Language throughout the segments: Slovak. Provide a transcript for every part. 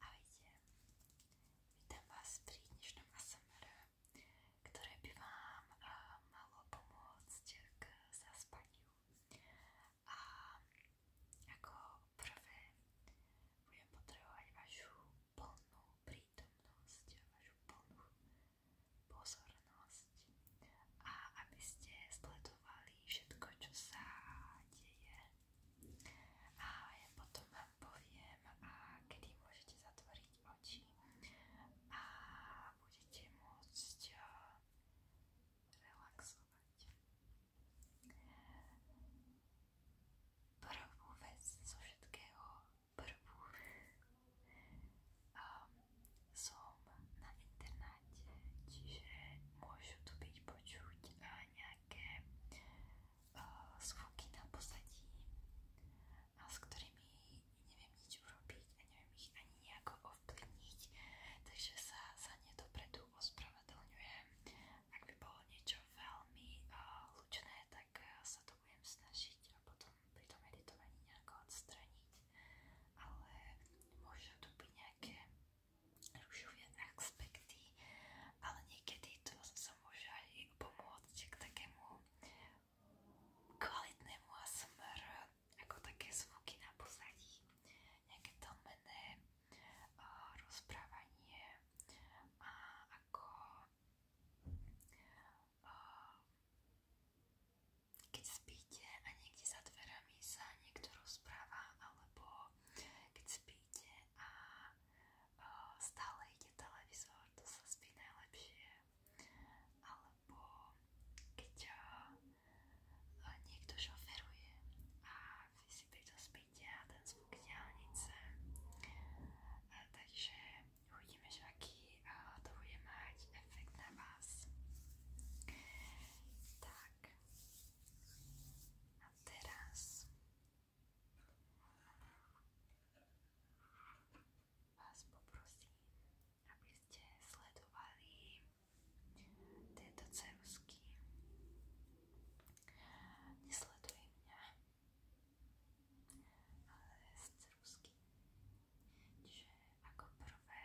Ahojte, vítam vás pri dnešnom ASMR, ktoré by vám a, eh, malo pomôcť k zaspaniu. A ako prvé budem potrebovať vašu plnú prítomnosť, vašu plnú pozornosť a aby ste sledovali všetko, čo sa deje a ja potom vám poviem, a kedy môžete zatvoriť oči a budete môcť eh, relaxovať. Prvú vec zo všetkého, prvú um, som na internáte, čiže môžu tu byť počuť aj nejaké nejaké uh, eh, zvuky na pozadí, a s ktorými neviem nič urobiť a neviem ich ani nejako ovplyvniť, takže sa za ne dopredu ospravedlňujem. Ak by bolo niečo veľmi uh, eh, hlučné, tak uh, sa to budem snažiť a potom pri tom editovaní nejako odstraniť, ale môžu tu byť nejaké rúžové aspekty, ale niekedy to sa môže aj pomôcť k takému kvalitnému ASMR, ako také zvuky na pozadí, nejaké tlmené uh, rozprávanie a ako uh, keď spíte a niekde za dverami sa niekto rozpráva alebo keď spíte spíte a o, stále ide televízor, to sa spí najlepšie. Alebo keď o, o, niekto šoferuje a vy si pritom spíte a ten zvuk diálnice. A, takže uvidíme, že aký a, to bude mať efekt na vás. Tak. A a teraz vás poprosím, aby ste sledovali tieto cerusky. Nesleduj mňa, ale z cerusky. Čiže ako prvé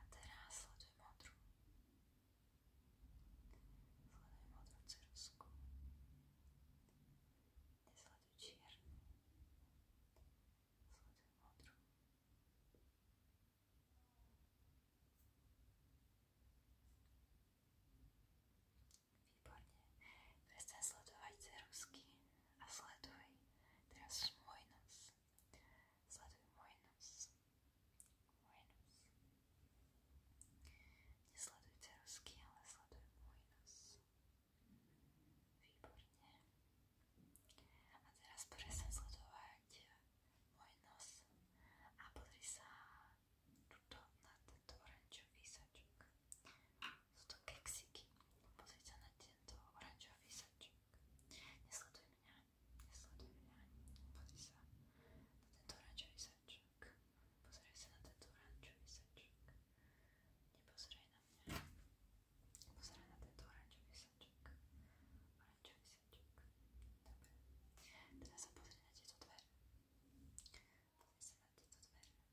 A teraz sleduj modrú. Sleduj modrú cerusku. Nesleduj čiernu. Sleduj modrú. Výborne. Prestaň sledovať cerusky a sleduj teraz môj nos nos. Sleduj môj nos. Môj nos. Nesleduj cerusky, ale sleduj môj nos. Výborne. A teraz presne sledovať môj nos a pozri sa tuto na tento oranžový sačok. Sú to keksiky. Pozri sa na tento oranžový sačok. Nesleduj mňa, nesleduj mňa, pozri sa na tento oranžový sačok, pozeraj sa na tento oranžový sačok, nepozeraj na mňa, pozeraj na tento oranžový sačok, oranžový sačok, dobre, teraz sa pozri na tieto dvere, pozri sa na tieto dvere,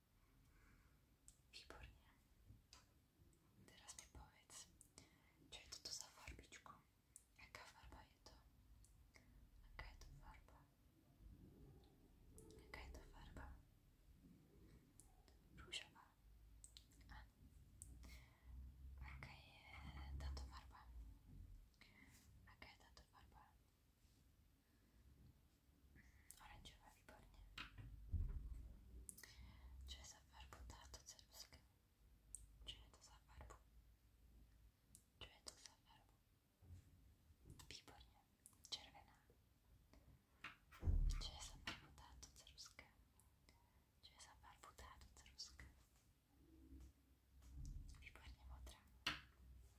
Výborne. Teraz mi povedz, čo je toto za farbičku? Aká farba je to? Aká je to farba? Aká je to farba? Rúžová. Áno. Aká je táto farba? Aká je táto farba? Oranžové, výborne. Čo je za farbu táto ceruzka? Čo je to za farbu? Čo je to za farbu? Výborne. Červená. Čo je za farbu táto ceruzka? Čo je za farbu táto ceruzka? Výborne modrá.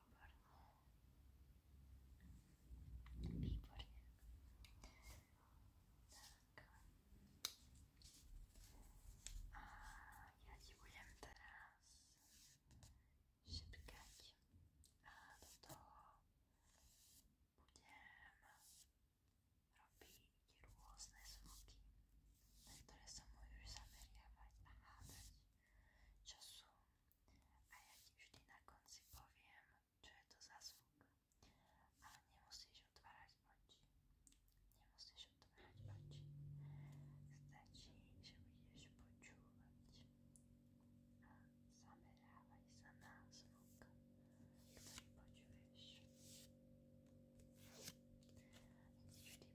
Výborne. Tak. A ja ti budem teraz šepkať a do toho budem robiť rôzne zvuky, na ktoré sa môžeš zameriavať a hádať, čo sú a ja ti vždy na konci poviem, čo je to za zvuk. Ale nemusíš otvárať oči. Nemusíš otvárať oči. Stačí, že budeš počúvať. A zamerávaj sa na zvuk, ktorý počuješ. Ja ti vždy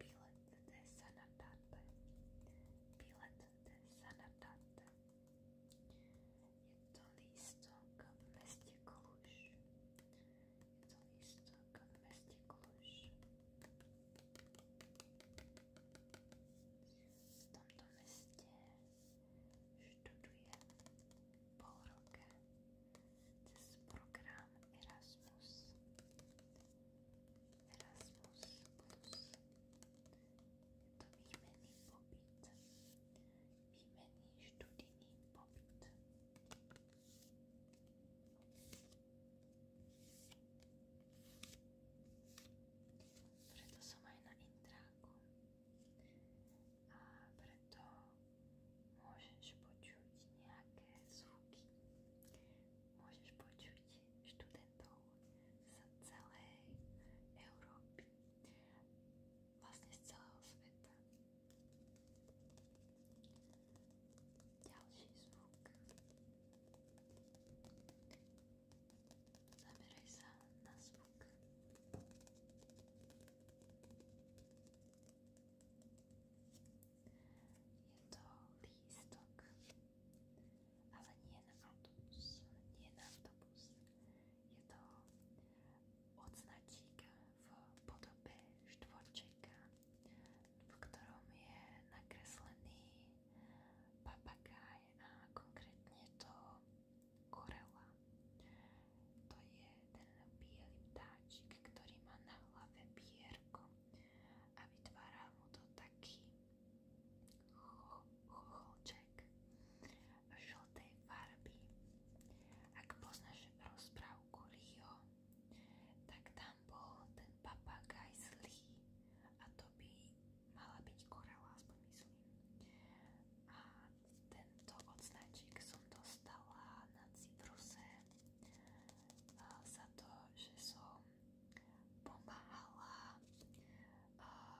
Bilet de Sanatante Bilet de Sanatante Je to lístok v meste Kluž Je to lístok v meste Kluž V tomto meste študuje pol roka cez program Erasmus Erasmus Plus je to výmenný pobyt výmenný študijný pobyt preto som aj na intráku a preto môžeš počuť nejaké zvuky Môžeš počuť študentov z celej Európy, vlastne z celého sveta. Ďalší zvuk. Zameraj sa na zvuk. Je to lístok, ale nie na autobus, nie na autobus. Je to odznačík v podobe štvorčeka, v ktorom je nakreslený papagáj a konkrétne to korela. To je ten biely ptáčik, ktorý má na hlave pierko a vytvára mu to taký chocholček žltej farby. Ak poznáš rozprávku Rio, tak tam bol ten papagaj zlý a to by mala byť korela, aspoň myslím. A tento odznačík som dostala na Cypruse za to, že som pomáhala na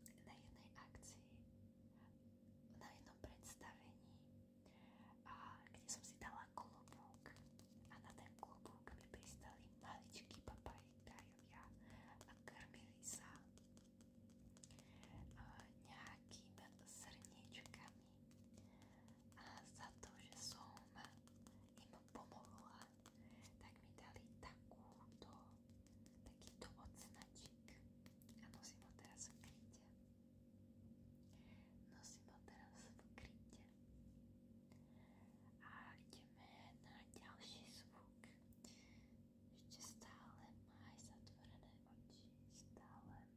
jednej akcii, na jednom predstavení, kde som si dala klobúk a na ten klobúk mi pristali maličkí papajkájovia a krmili sa nějakým srdíčkami a za to, že som im pomohla, tak mi dali takúto, takýto odznačík a nosím ho teraz v kryte. Nosím ho teraz v kryte. A ideme na ďalší zvuk. Ešte stále máš zatvorené oči, stále máš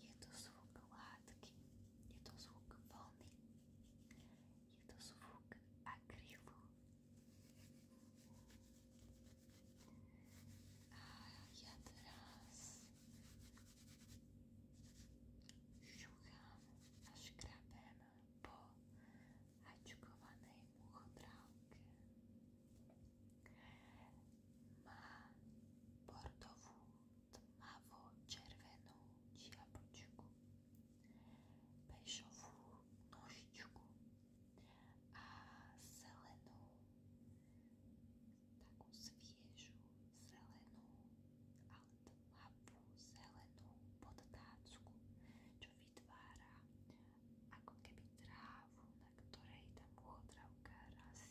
Je to zvuk látky, je to zvuk vlny, je to zvuk akrylu. A ja teraz šuchám a škrabem po hačkovanej muchodrávke. Má bordovú tmavo-červenú čiapočku, pešovú nožičku a zelenú, takú sviežu zelenú, ale tmavú zelenú podtácku, čo vytvára ako keby trávu, na ktorej tá modravka rastie.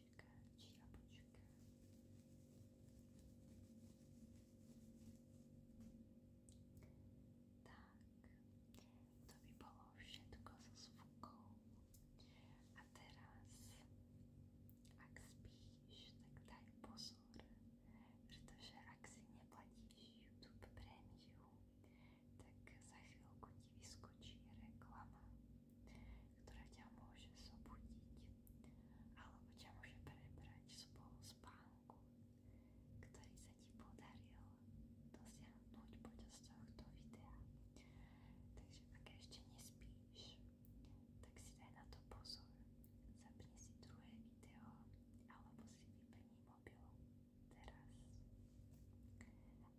Чекать, яблочко. Tak, to by bolo všetko so zvukom. A teraz, ak spíš, tak daj pozor, pretože ak si neplatíš YouTube Premium, tak za chvíľku ti vyskočí reklama ktoré ťa môže zobudiť alebo ťa môže prebrať spolu spánku, ktorý sa ti podaril dosiahnuť počas tohto videa. Takže ak ešte nespíš, tak si daj na to pozor. Zapni si druhé video alebo si vypni mobil teraz.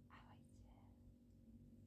Ahojte.